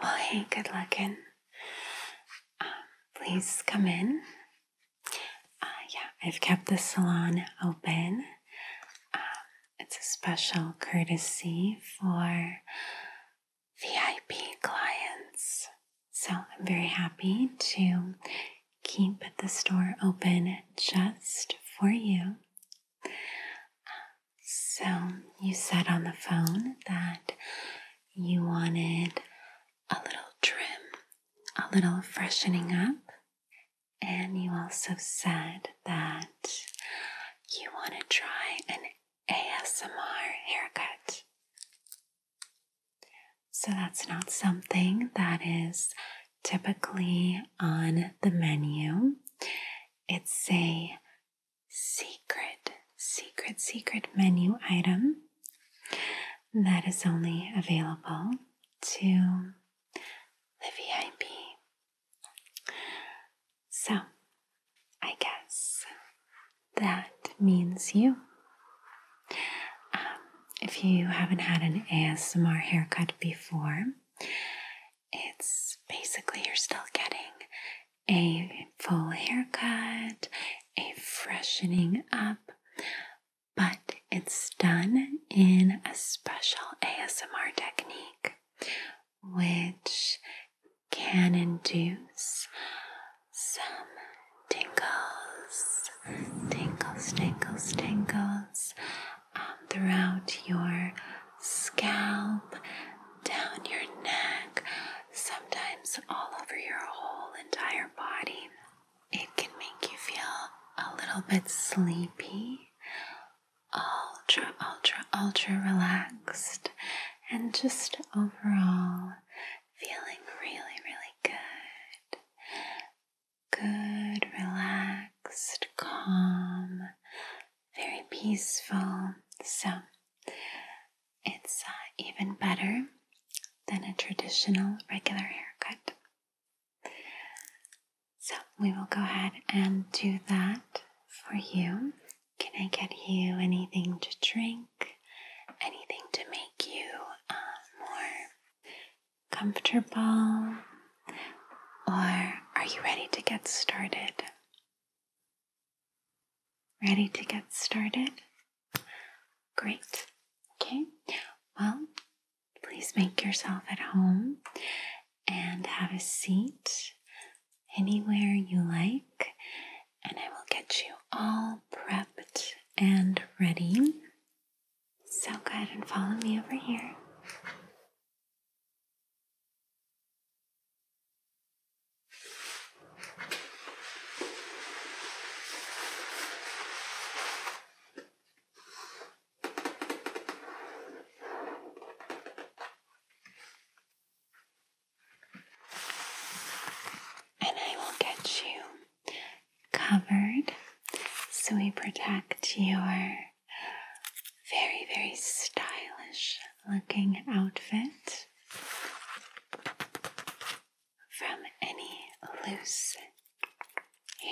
Well, hey, good luck in. Um, please come in. Uh, yeah, I've kept the salon open. Um, it's a special courtesy for VIP clients. So I'm very happy to keep the store open just for you. so you said on the phone that you wanted a little trim, a little freshening up. And you also said that you want to try an ASMR haircut. So that's not something that is typically on the menu. It's a secret, secret, secret menu item that is only available to the VIP. So, I guess that means you. Um, if you haven't had an ASMR haircut before, it's basically you're still getting a full haircut, a freshening up, but it's done in a special ASMR technique which can induce some tingles, tingles, tingles, tingles um, throughout your scalp, down your neck, sometimes all over your whole entire body. It can make you feel a little bit sleepy ultra, ultra, ultra relaxed and just overall feeling really, really good. Good, relaxed, calm, very peaceful. So it's uh, even better than a traditional regular haircut. So we will go ahead and do that for you. Can I get you anything to drink? Anything to make you uh, more comfortable? Or are you ready to get started? Ready to get started? Great. Okay. Well, Please make yourself at home and have a seat anywhere you like, and I will get you all prepped and ready. So go ahead and follow me over here. And I will get you covered so we protect your very, very stylish looking outfit from any loose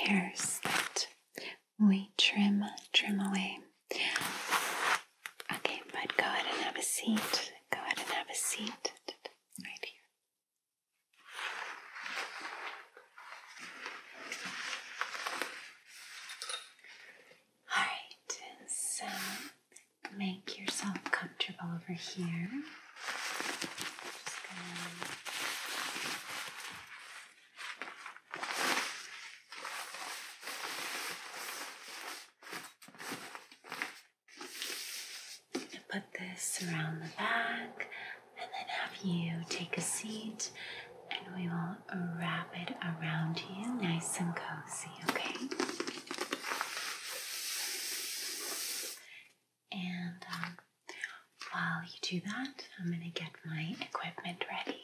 hairs that we trim, trim away. Okay, bud. go ahead and have a seat. Go ahead and have a seat right here. Alright, so make yourself comfortable over here. Put this around the back and then have you take a seat and we will wrap it around you nice and cozy, okay? And um, while you do that, I'm going to get my equipment ready.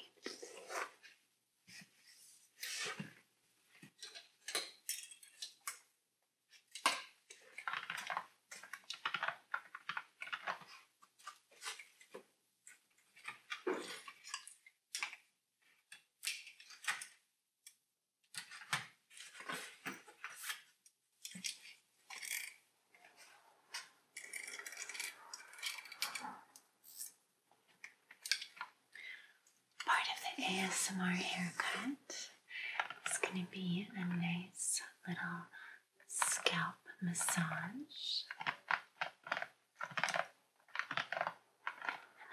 Part of the ASMR haircut is going to be a nice little scalp massage.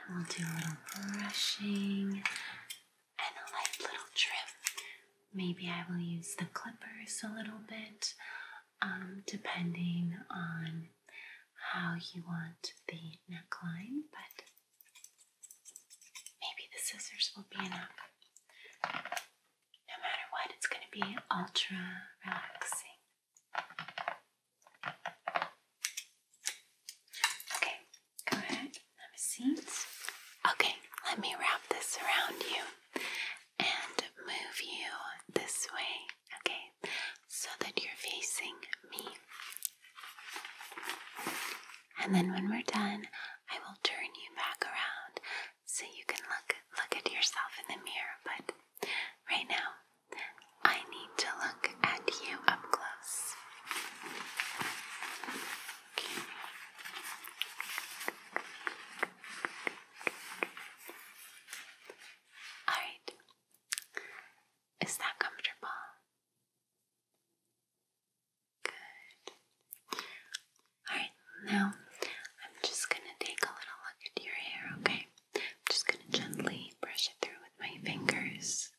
And will do a little brushing and a light little trim. Maybe I will use the clippers a little bit um, depending on how you want the neckline, but maybe the scissors will be enough. No matter what, it's going to be ultra relaxing. Okay, go ahead. Have a seat. Okay, let me wrap this around you and move you this way, okay, so that you're facing me. And then when we're done, I will turn you back around so you can look look at yourself in the mirror, but right now I need to look at you up close. Alright. Is that comfortable? Good. Alright, now I'm just going to take a little look at your hair, okay? I'm just going to gently brush it through with my fingers.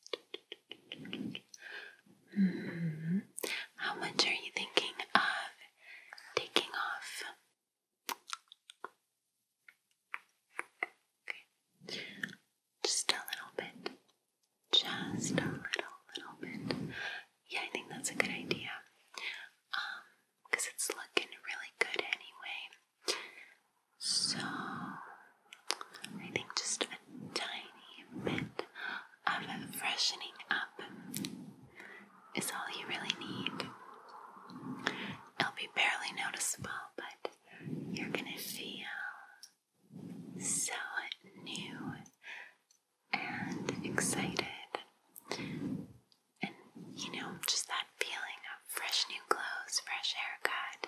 -hmm. How much are you thinking of taking off? Just a little bit. Just a little, little bit. Yeah, I think that's a good idea. Um, because it's looking really good anyway. So, I think just a tiny bit of freshening up is all you really need. It'll be barely noticeable, but you're gonna feel so new and excited. And you know, just that feeling of fresh new clothes, fresh haircut.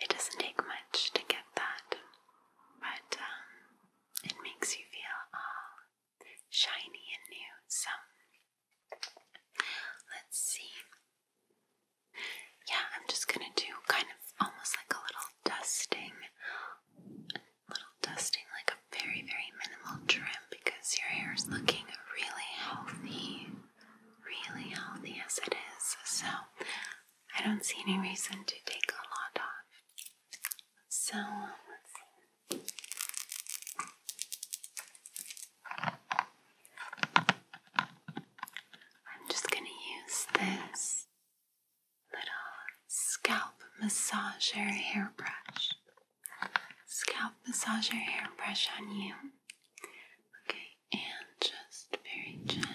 It doesn't take much to get that, but um, it makes you feel all shiny and new. So let's see. Yeah, I'm just gonna do kind of almost like a little dusting, little dusting, like a very, very minimal trim because your hair is looking really healthy, really healthy as it is. So I don't see any reason to take a lot off. So let's see. I'm just going to use this little scalp massager hairbrush. Scalp massager hairbrush on you. Okay, and just very gently.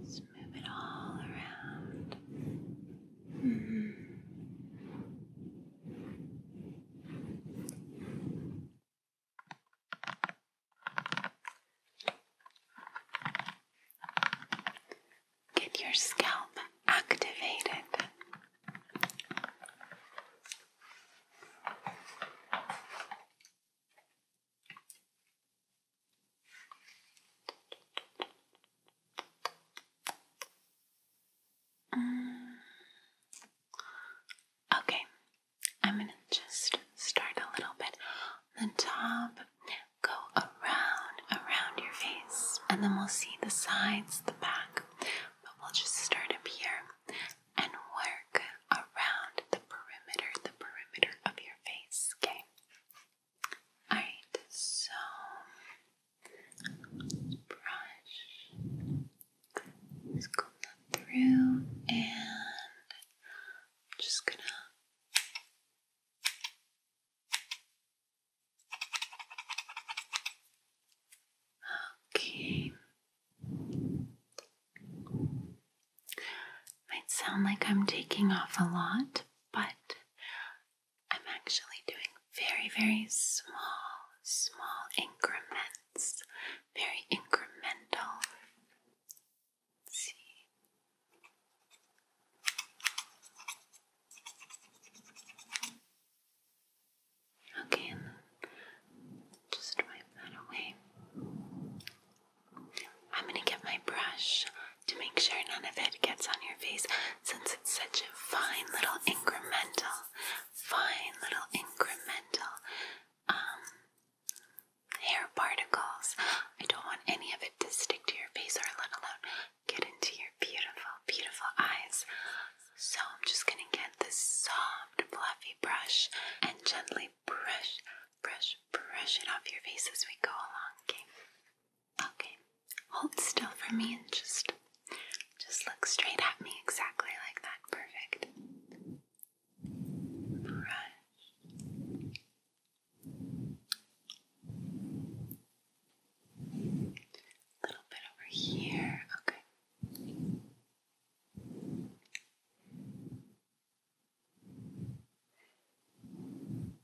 Just move it all around. Mm-hmm. Get your scalp activated. Uh, okay, I'm going to just start a little bit on the top, go around, around your face, and then we'll see the sides, the back, but we'll just start up here and work around the perimeter, the perimeter of your face, okay? Alright, so brush, just comb through, and just gonna Okay. Might sound like I'm taking off a lot, but I'm actually doing very, very small, small increments. Very incremental. Okay, just wipe that away. I'm gonna get my brush to make sure none of it gets on your face since it's such a fine little incremental, fine little incremental um, hair particles. I don't want any of it to stick to your face or let alone get into your beautiful, beautiful eyes. So I'm just gonna get this soft, fluffy brush and gently brush, brush, brush it off your face as we go along, okay? Okay. Hold still for me and just just look straight at me exactly like that. Perfect. Brush. A little bit over here. Okay. Good. Good.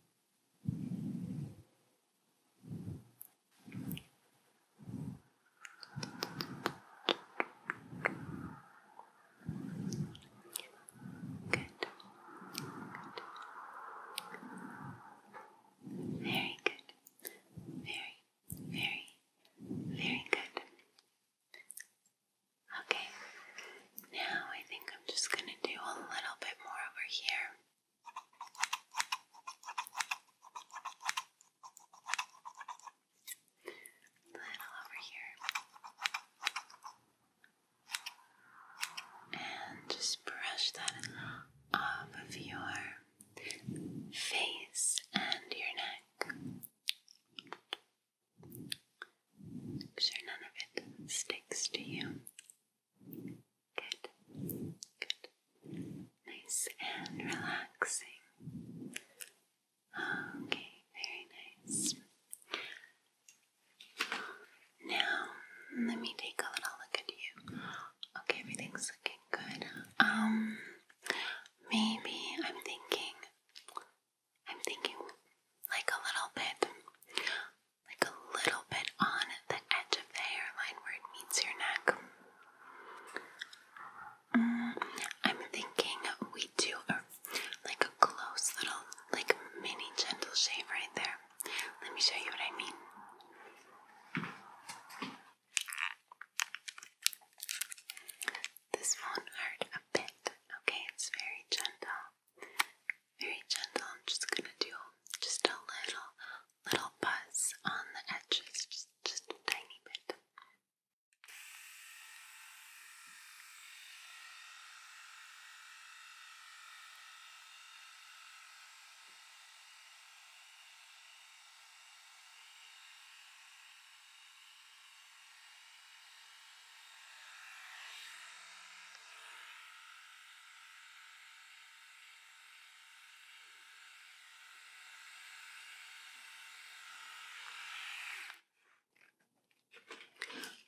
Very good. Very, very, very good. Okay, now I think I'm just going to do a little bit more over here. A little over here. And just brush that off of your face and your neck sure none of it sticks to you. Good, good. Nice and relaxing. Okay, very nice. Now, let me take a little look at you. Okay, everything's looking good. Um, maybe I'm thinking I'm thinking like a little bit, like a little bit on the edge of the hairline where it meets your neck. Mm, I'm thinking we do a, like a close little, like mini gentle shave right there. Let me show you what I mean. This won't hurt a bit, okay? It's very gentle. Very gentle. I'm just gonna do just a little, little buzz on the edges, just, just a tiny bit.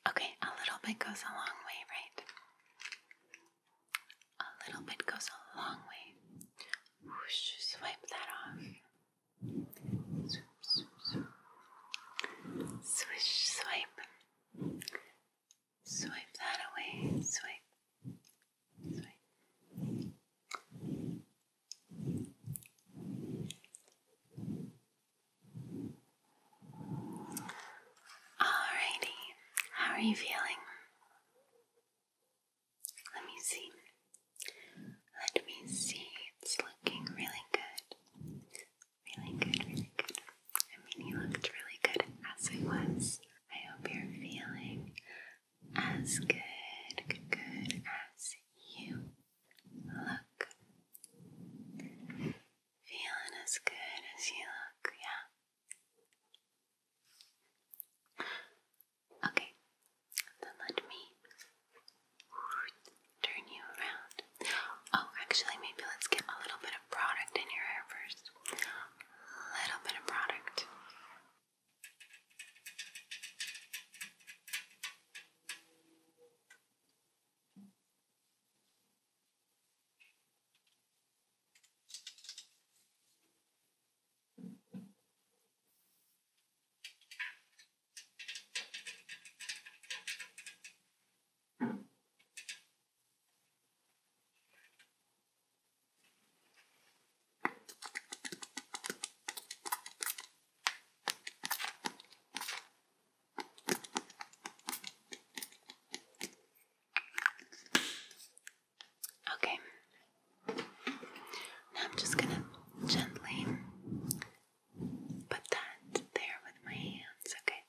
Okay, a little bit goes a long way, right? A little bit goes a long way. swipe that off. Swish, swipe. Swipe that away. Swipe. Swipe. Alrighty, how are you feeling? Let me see. Let me see. It's looking really good. Really good, really good. I mean, you looked really good as it was. I hope you're feeling as good, good, good as you look. Feeling as good as you look, yeah. Okay, then let me turn you around. Oh, actually, maybe let's get a little bit of product in your hair first. A little bit of product. Okay. I'm just going to gently put that there with my hands, okay?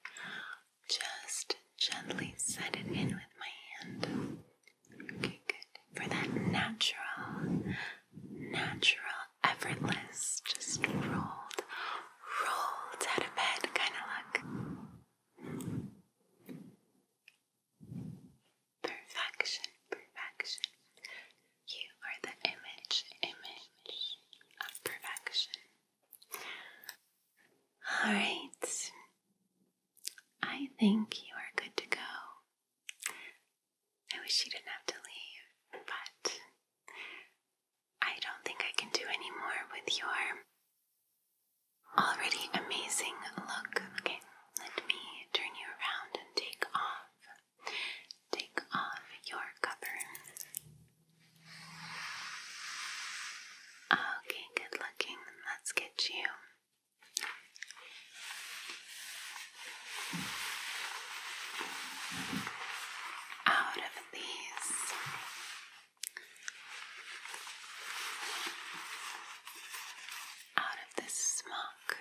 Just gently set it in with my hand. Okay, good. For that natural, natural, effortless, just rolled, rolled out of bed kind of look. Perfection, perfection. You are the image, image of perfection. All right. I think you are good to go. I wish you didn't have to leave, but I don't think I can do any more with your already amazing look. Okay, let me turn you around and take off. Take off your cover. Okay, good looking. Let's get you. Out of these, out of this smock,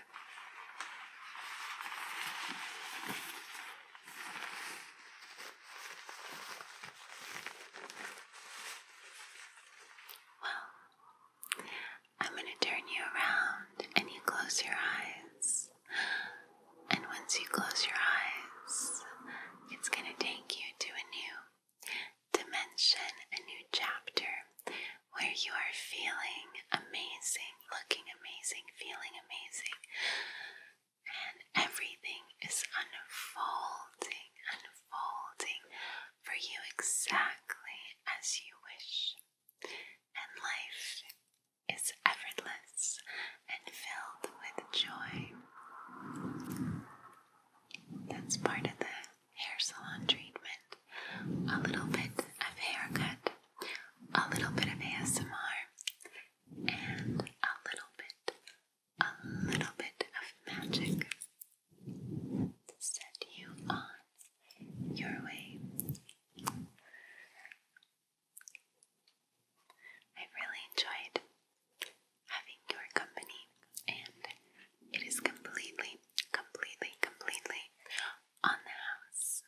well, I'm going to turn you around and you close your eyes. And once you close your eyes, it's going to take you to a new dimension, a new chapter where you are feeling amazing, looking amazing, feeling amazing and everything is unfolding, unfolding for you exactly as you wish. And life is effortless and filled with joy. That's part of the hair salon treatment. A little bit of haircut, a little bit of ASMR, and a little bit, a little bit of magic set you on your way. I really enjoyed having your company, and it is completely, completely, completely on the house.